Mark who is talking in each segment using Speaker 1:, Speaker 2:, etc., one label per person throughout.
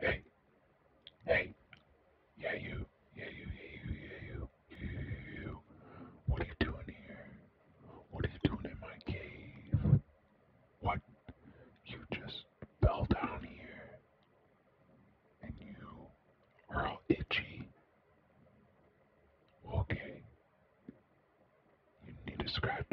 Speaker 1: Hey, hey, yeah you, yeah you, yeah you, yeah you, yeah you. What are you doing here? What are you doing in my cave? What? You just fell down here, and you are all itchy. Okay. You need a scratch.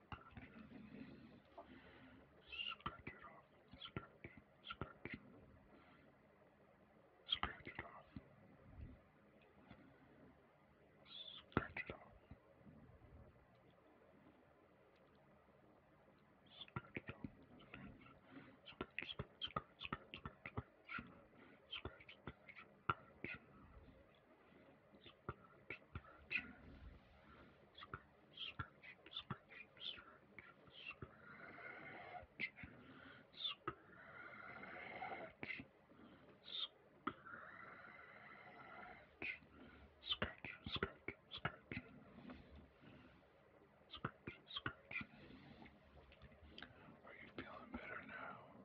Speaker 2: Scratch it off. Scratch. Scratch. Scratch it off. Scratch it off. Scratch it off. Scratch, scratch, scratch, scratch, scratch, scratch, scratch, scratch, scratch, scratch, are you feeling better now?